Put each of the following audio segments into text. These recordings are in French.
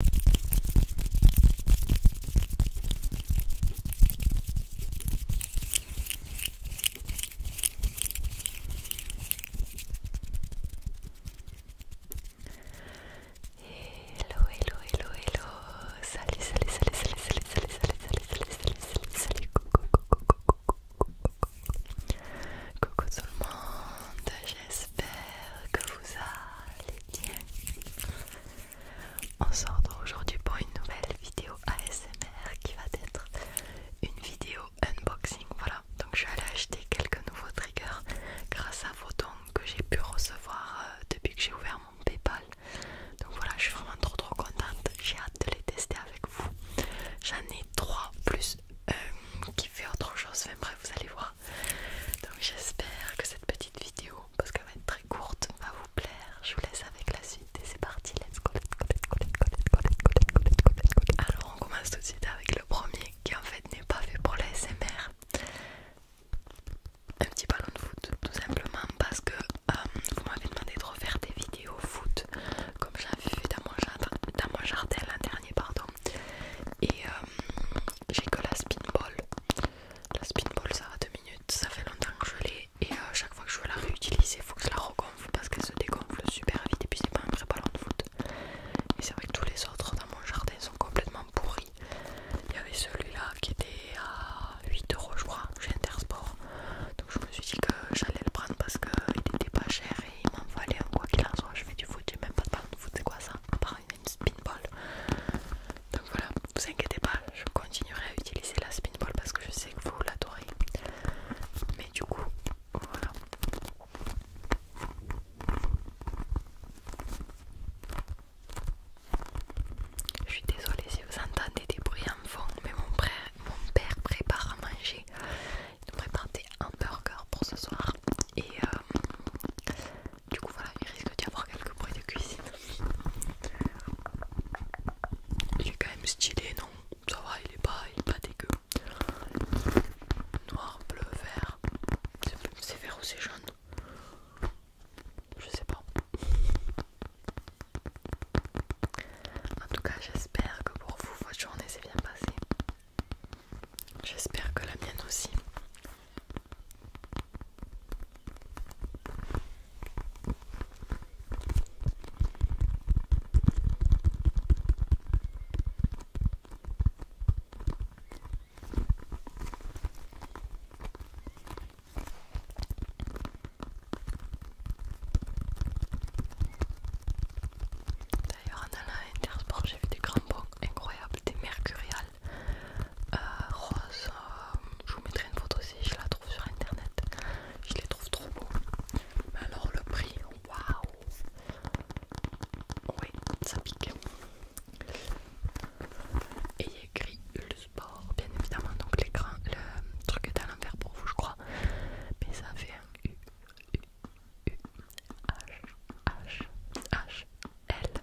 Hello, hello, Salut, salut, salut, salut, salut, salut, salut, salut, tout le monde. J'espère que vous allez on se retrouve aujourd'hui pour une nouvelle vidéo ASMR qui va être une vidéo unboxing. Voilà, donc je suis allée acheter quelques nouveaux triggers grâce à vos dons que j'ai pu recevoir euh, depuis que j'ai ouvert mon PayPal. Donc voilà, je suis vraiment trop trop contente. J'ai hâte de les tester avec vous. J'en ai trois plus euh, qui fait autre chose. Enfin bref, vous allez voir. Donc j'espère que cette petite vidéo, parce qu'elle va être très courte, va vous plaire. Je vous laisse avec la suite et c'est parti. Let's go, let's go, let's go, let's go, let's go, let's go, Alors on commence tout de suite avec le premier qui en fait n'est pas fait pour l'ASMR Un petit ballon de foot, tout simplement parce que euh, vous m'avez demandé de refaire des vidéos foot comme j'avais fait dans dans mon jardin l'an dernier, pardon. Et euh, j'ai que la spinball. La spinball ça a 2 minutes, ça fait longtemps que je l'ai et à euh, chaque fois que je veux la réutiliser, il faut que je la regonfle parce qu'elle se dégonfle super vite et puis c'est pas un vrai ballon de foot. Et c'est vrai que tous les autres dans mon jardin sont complètement pourris. Il y avait celui-là qui était à 8 euros je crois chez Intersport. Donc je me suis dit que j'allais le prendre parce qu'il était pas cher et il m'en fallait en quoi qu'il en soit. Je fais du foot, j'ai même pas de ballon de foot, c'est quoi ça une spinball. Donc voilà, vous inquiétez pas, je continuerai à utiliser la spinball parce que je sais que vous l'adorez. Mais du coup, voilà. Je suis désolée si vous entendez des bruits en fond, mais mon, frère, mon père prépare à manger. Il nous prépare des hamburgers pour ce soir. Et euh, du coup voilà, il risque d'y avoir quelques bruits de cuisine. Il est quand même stylé, non Ça va, il est pas, dégueu. Noir, bleu, vert. C'est vert ou c'est jaune Je sais pas. En tout cas, j'espère que pour vous, votre journée s'est bien passée. J'espère que la mienne aussi. D'ailleurs, en allant à Intersport, j'ai vu des crampons incroyables, des mercuriales. Euh, rose. Euh, je vous mettrai une photo aussi. je la trouve sur internet. Je les trouve trop beaux. Mais alors le prix, waouh! Oui, ça pique. Et il y a écrit le sport, bien évidemment. Donc l'écran, le truc est à l'envers pour vous, je crois. Mais ça fait un U, U, U, H, H, H, L.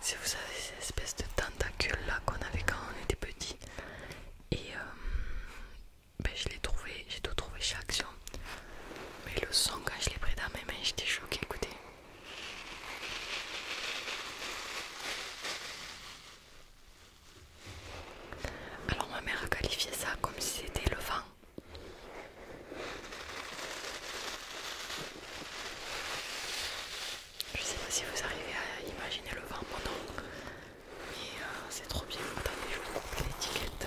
si vous savez, ces espèces de tentacules là qu'on avait quand on était petit, et euh, ben, je l'ai trouvé, j'ai tout trouvé chez Action. Mais le son, quand je l'ai pris dans mes mains, j'étais choquée. Écoutez. Alors ma mère a qualifié ça comme si c'était le vent je sais pas si vous arrivez à imaginer le vin pendant, mais euh, c'est trop bien. Attendez, je vous coupe l'étiquette.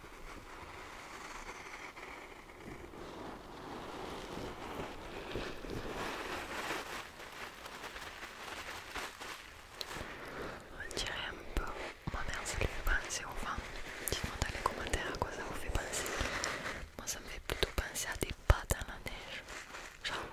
On dirait un peu, ma mère ça lui fait penser au vent, Dites-moi dans les commentaires à quoi ça vous fait penser. Moi ça me fait plutôt penser à des pas dans la neige. genre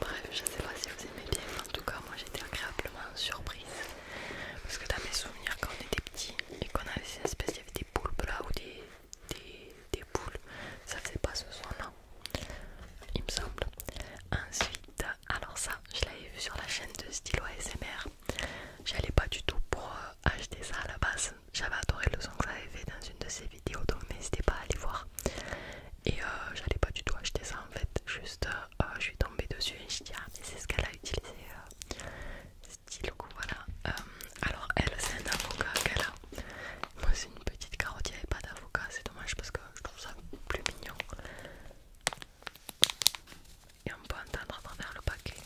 Bref, je sais pas si vous aimez bien, mais en tout cas, moi j'étais agréablement surprise parce que dans mes souvenirs, quand on était petit et qu'on avait ces espèces, il y avait des boules, là ou des, poules, ça faisait pas ce son là, il me semble. Ensuite, alors ça, je l'avais vu sur la chaîne de Stylo ASMR, j'allais pas du tout pour euh, acheter ça à la base, j'avais adoré le son que ça avait fait dans une de ses vidéos donc n'hésitez pas à aller voir et euh, j'allais pas du tout acheter ça en fait juste euh, euh, je suis tombée dessus et je dis ah mais c'est ce qu'elle a utilisé style voilà alors elle c'est un avocat qu'elle a moi c'est une petite carotte il n'y avait pas d'avocat c'est dommage parce que je trouve ça plus mignon et on peut entendre à travers le paquet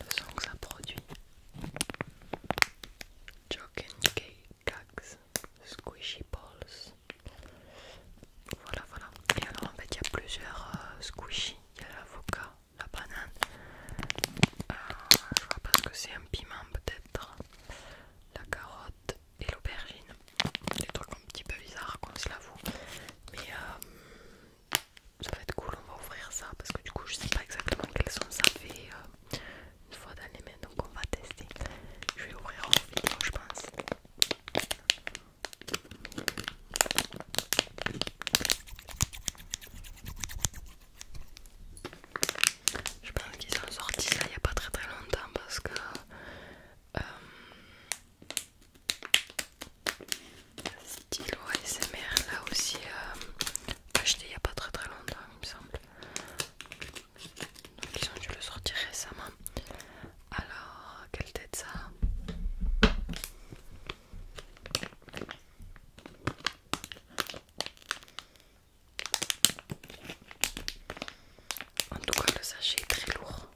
le son que ça produit Joking Cakes Squishy Balls. Voilà, voilà. Et en fait, il y a plusieurs euh, squishy. Il y a l'avocat, la banane. Euh, je vois pas ce que c'est, un piment peut-être. La carotte et l'aubergine. Des trucs un petit peu bizarres quand se l'avoue. Mais euh, ça va être cool, on va ouvrir ça parce que du coup, je sais pas exactement quels sont ça fait une fois dans les mains donc on va tester je vais ouvrir en vidéo je pense je pense qu'ils ont sorti ça il n'y a pas très très longtemps parce que euh, stylo ASMR là aussi euh, acheté il n'y a pas très très longtemps il me semble ils ont dû le sortir récemment. Alors, quelle tête ça En tout cas, le sachet est très lourd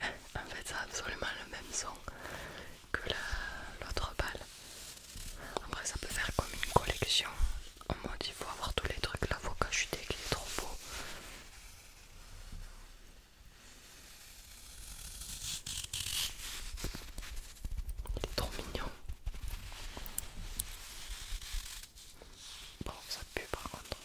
en fait ça a absolument le même son que l'autre balle. Après ça peut faire comme une collection. On m'a dit faut avoir tous les trucs, l'avocat chuté qui est trop beau. Il est trop mignon. Bon ça pue par contre.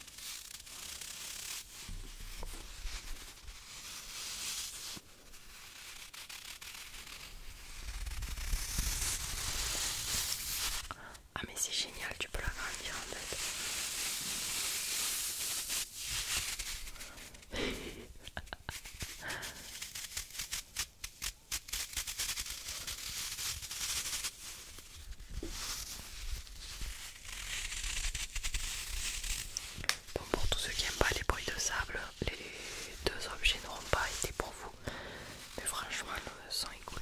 Ah mais c'est génial, tu peux la l'agrandir en fait. Bon, pour tous ceux qui n'aiment pas les bruits de sable, les deux objets n'auront pas été pour vous. Mais franchement, le son est cool.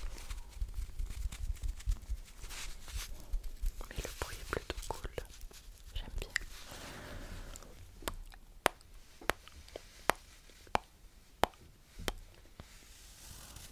Mais le bruit est plutôt cool. J'aime bien.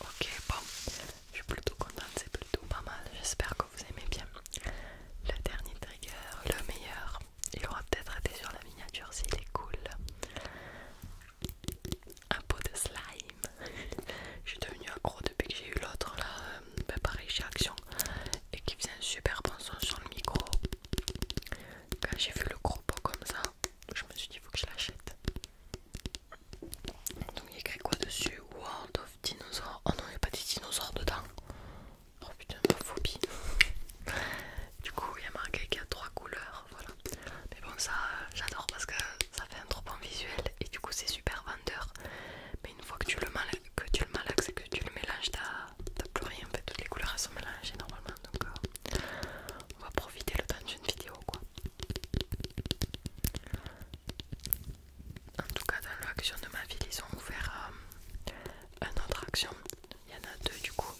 Ok, bon, je suis plutôt contente, c'est plutôt pas mal. J'espère que vous aimez bien. Le dernier trigger, le meilleur, il aura peut-être été sur la miniature s'il est cool. Un pot de slime. je devenu devenue accro depuis que j'ai eu l'autre là, ben pareil chez Action, et qui faisait un super bon son sur le micro. Quand j'ai vu le gros pot comme ça, je me suis dit, il faut que je l'achète. Donc il y a écrit quoi dessus World of Dinosaurs. Oh non, il n'y a pas des dinosaures dedans. Oh putain, ma phobie. du coup, il y a marqué qu'il y a trois couleurs. Voilà. Mais bon, ça, j'adore parce que ça fait un trop bon visuel et du coup, c'est super vendeur. Mais une fois que tu le mal que tu le malaxes que tu le mélanges, t'as plus rien. En fait, toutes les couleurs sont mélangées normalement donc euh, on va profiter le temps d'une vidéo quoi. En tout cas dans l'action de ma ville ils ont ouvert euh, un autre action, il y en a deux du coup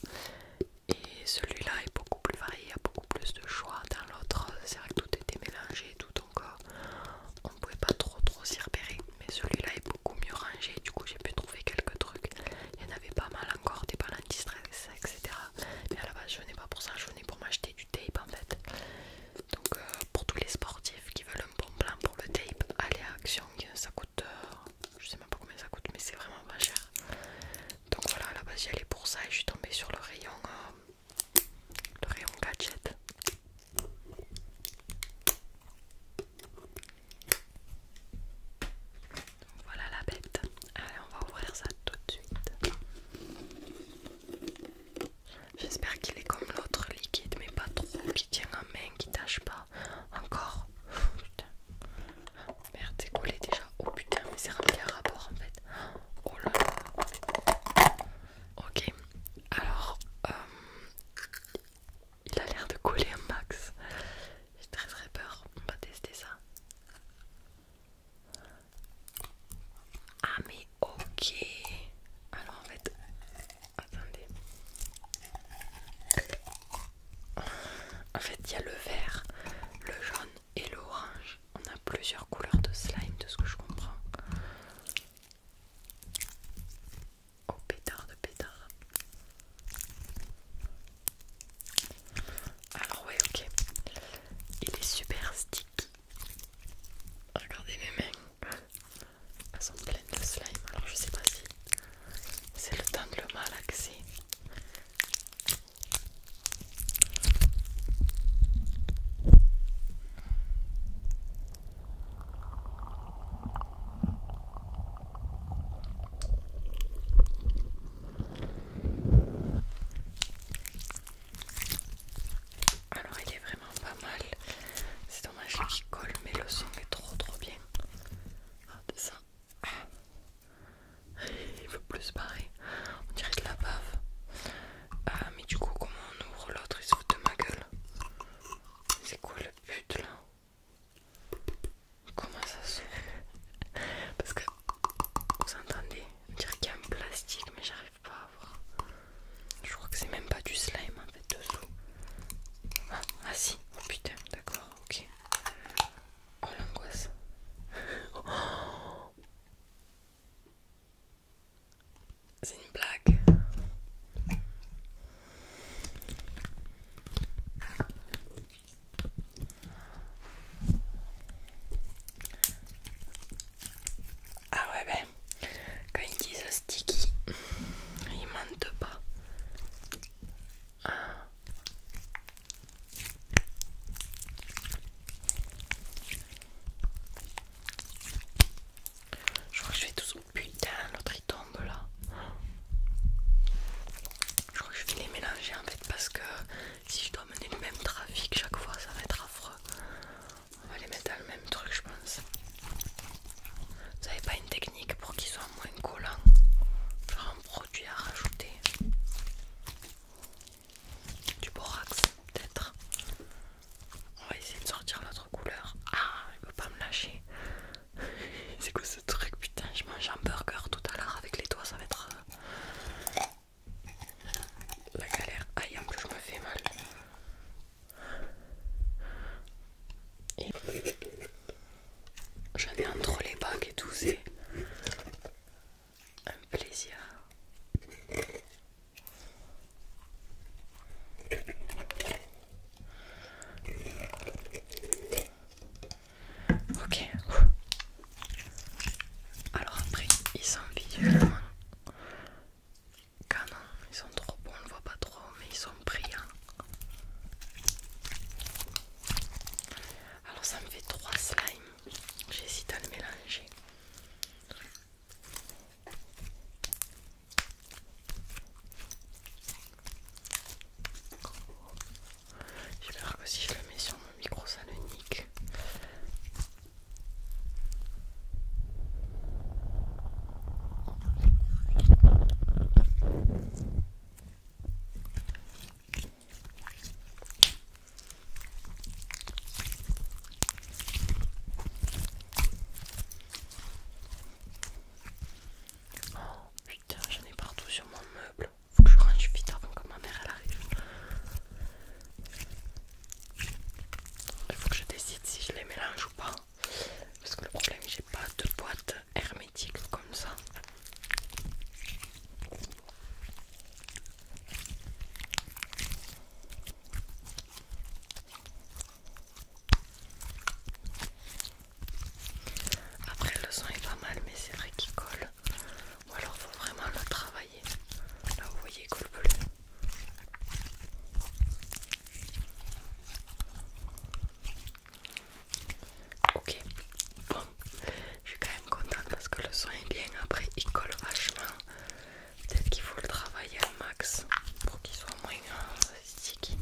et celui-là est beaucoup plus varié, il y a beaucoup plus de choix dans l'autre, c'est vrai que tout était mélangé tout donc euh, on pouvait pas trop trop s'y repérer mais celui-là est beaucoup mieux rangé, du coup j'ai pu trouver quelques trucs. Il y en avait pas mal encore, des balles anti-stress, etc. Mais à la base je venais pas pour ça, je venais pour m'acheter du tape en fait. Donc euh, pour tous les sportifs qui veulent un bon plan pour le tape, allez à Action, euh, ça coûte, euh, je sais même pas combien ça coûte, mais c'est vraiment pas cher. Donc voilà, à la base j'y allais pour ça et je suis tombée sur le rayon, le rayon gadget voilà la bête. Allez, on va ouvrir ça tout de suite. J'espère qu'il est comme l'autre liquide, mais pas trop, qui tient en main, qui tâche pas. Encore. Putain. Merde, c'est collé déjà. Oh putain, mais c'est rempli à rapport en fait. Oh là là. Ok. Alors, euh, il a l'air de coller un max. J'ai très très peur. On va tester ça. Ah mais ok. Alors en fait, attendez. En fait, il y a le vert, le jaune et l'orange. On a plusieurs couleurs de slime de ce que je comprends au oh, pétard de pétard. Alors ouais ok, il est super sticky. Regardez mes mains, elles sont pleines de slime. Alors je sais pas si c'est le temps de le malaxer. Alors il est vraiment pas mal. C'est dommage qu'il colle mais le son est trop trop bien. Ah, ça. Ah. Il veut plus barrer On dirait de la bave. Ah mais du coup comment on ouvre l'autre Il se fout de ma gueule. C'est quoi le but là Comment ça se Parce que vous entendez dire qu'il y a un plastique, mais j'arrive pas à voir. Je crois que c'est même pas du slime en fait dessous. Ah, ah si, oh putain, d'accord, ok. Oh l'angoisse. c'est une blague. Ah ouais ben quand ils disent sticky ils mentent pas Je crois que je vais tous. Putain, l'autre tombe là. Je crois que je vais les mélanger en fait parce que si je dois mener le même trafic chaque fois, ça va être affreux. On va les mettre dans le même truc, je pense. Vous avez pas une technique pour qu'ils soient moins collants Genre un produit à rajouter Du borax, peut-être. On va essayer de sortir l'autre couleur. Ah, il ne veut pas me lâcher. C'est quoi ce truc Putain, je mange un burger tout à l'heure avec les doigts, ça va être euh, la galère. Aïe, en je me fais mal. Et... J'en ai entre les bagues et tout, c'est un plaisir. Ok. Alors après, ils sont visuellement Ils sont trop bons, on le voit pas trop, mais ils sont brillants. Hein. Alors ça me fait trois slimes. J'hésite à le mélanger peur que si je le mets sur mon micro, salonique. Putain, j'en ai partout sur mon meuble. Faut que je range vite avant que ma mère elle arrive. Il faut que je décide si je les mélange ou pas. Parce que le problème, j'ai pas de boîte hermétique comme ça. Après le son est pas mal mais c'est vrai qu'il colle. Ou alors faut vraiment le travailler. Là vous voyez il colle plus. Ok, bon, je suis quand même contente parce que le son est bien. Après, il colle vachement. Peut-être qu'il faut le travailler à max pour qu'il soit moins euh, sticky.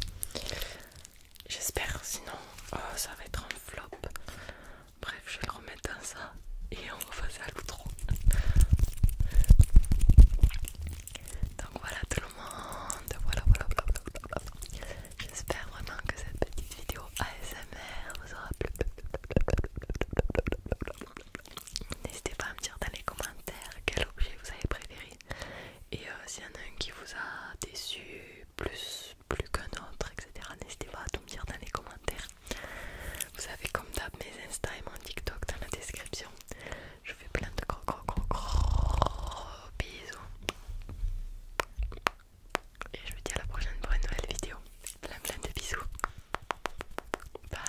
J'espère, sinon euh, ça va être un flop. Bref, je vais le remettre dans ça et on va passer à l'outro. Donc voilà tout le monde, voilà, voilà, voilà. J'espère vraiment que cette petite vidéo ASMR vous aura plu. N'hésitez pas à me dire dans les commentaires quel objet vous avez préféré et euh, s'il y en a un qui vous a déçu plus, plus qu'un autre, etc., n'hésitez pas à tout me dire dans les commentaires. Vous avez comme d'hab, mes Insta et mon TikTok dans la description. Je vous fais plein de gros, gros, gros, gros bisous. Et je vous dis à la prochaine pour une nouvelle vidéo. Plein, plein de bisous. Bye.